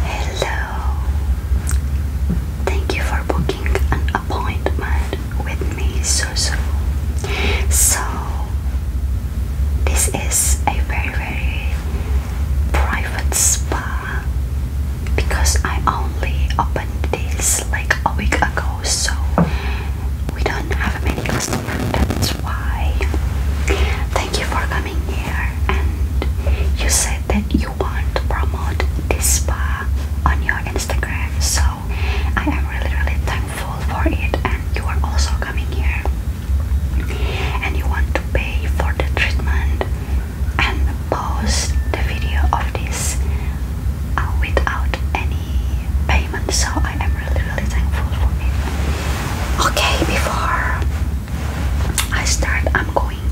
Hello. Thank you for booking an appointment with me, Susu. So, this is a very, very private spa because I only opened this like a week ago, so we don't have many customers. That's why. Thank you for coming here. And you said that you want to promote this spa on your Instagram, so I am really, really thankful for it. And you are also coming here, and you want to pay for the treatment and post the video of this uh, without any payment so I am really really thankful for it okay before I start I'm going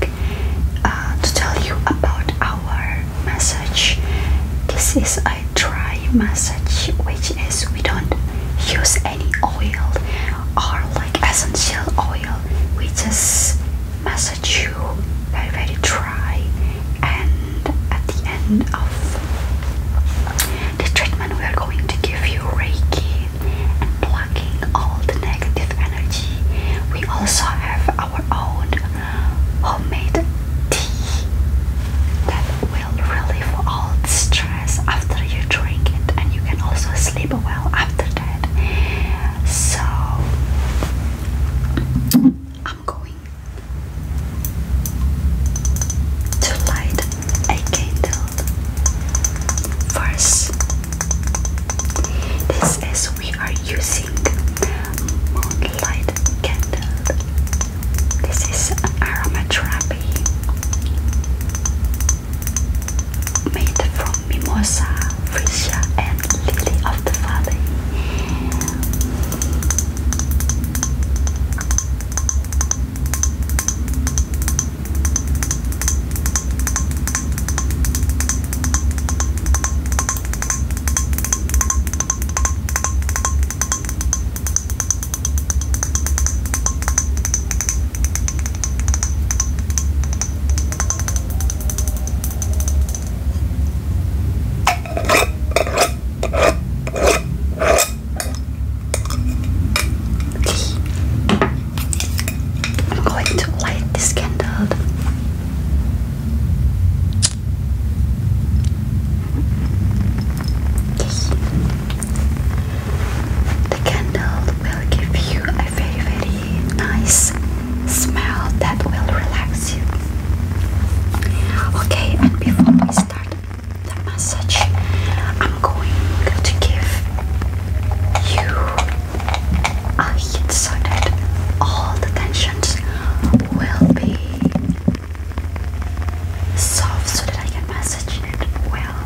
uh, to tell you about our massage this is a dry massage which is we don't use any oil or like essential oil we just massage you very very dry and at the end of the treatment we are going to give you reiki and plucking all the negative energy we also have our own homemade tea that will relieve all the stress after you drink it and you can also sleep well after that. So I'm going to light a candle first. This is we are using moonlight candle. This is aromatherapy made from Mimosa, Frisia, and Lily of the Valley. I'm going to light this candle. The candle will give you a very, very nice smell that will relax you. Okay, and before we start the massage, I'm going to give you a hit so that all the tensions will be soft so that I can massage it well.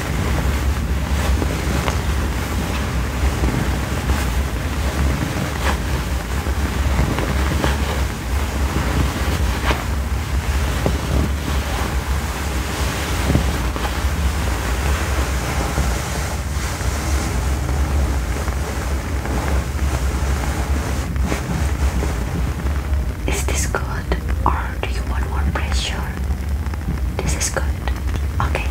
Is this good or do you want more pressure? this is good. Okay.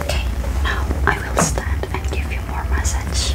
Okay, now I will stand and give you more massage.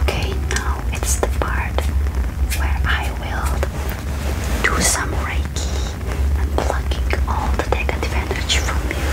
Okay, now it's the part where I will do some Reiki and plucking all the negative advantage from you.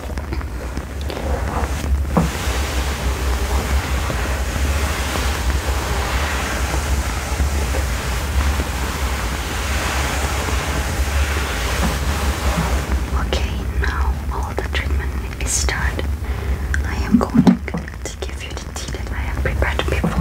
Okay, now all the treatment is done. I am going to give you the tea that I have prepared before.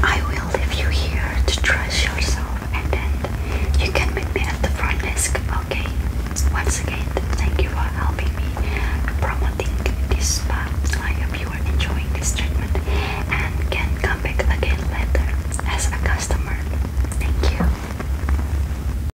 I will leave you here to dress yourself and then you can meet me at the front desk, okay? Once again, thank you for helping me promoting this spa. I hope you are enjoying this treatment and can come back again later as a customer. Thank you.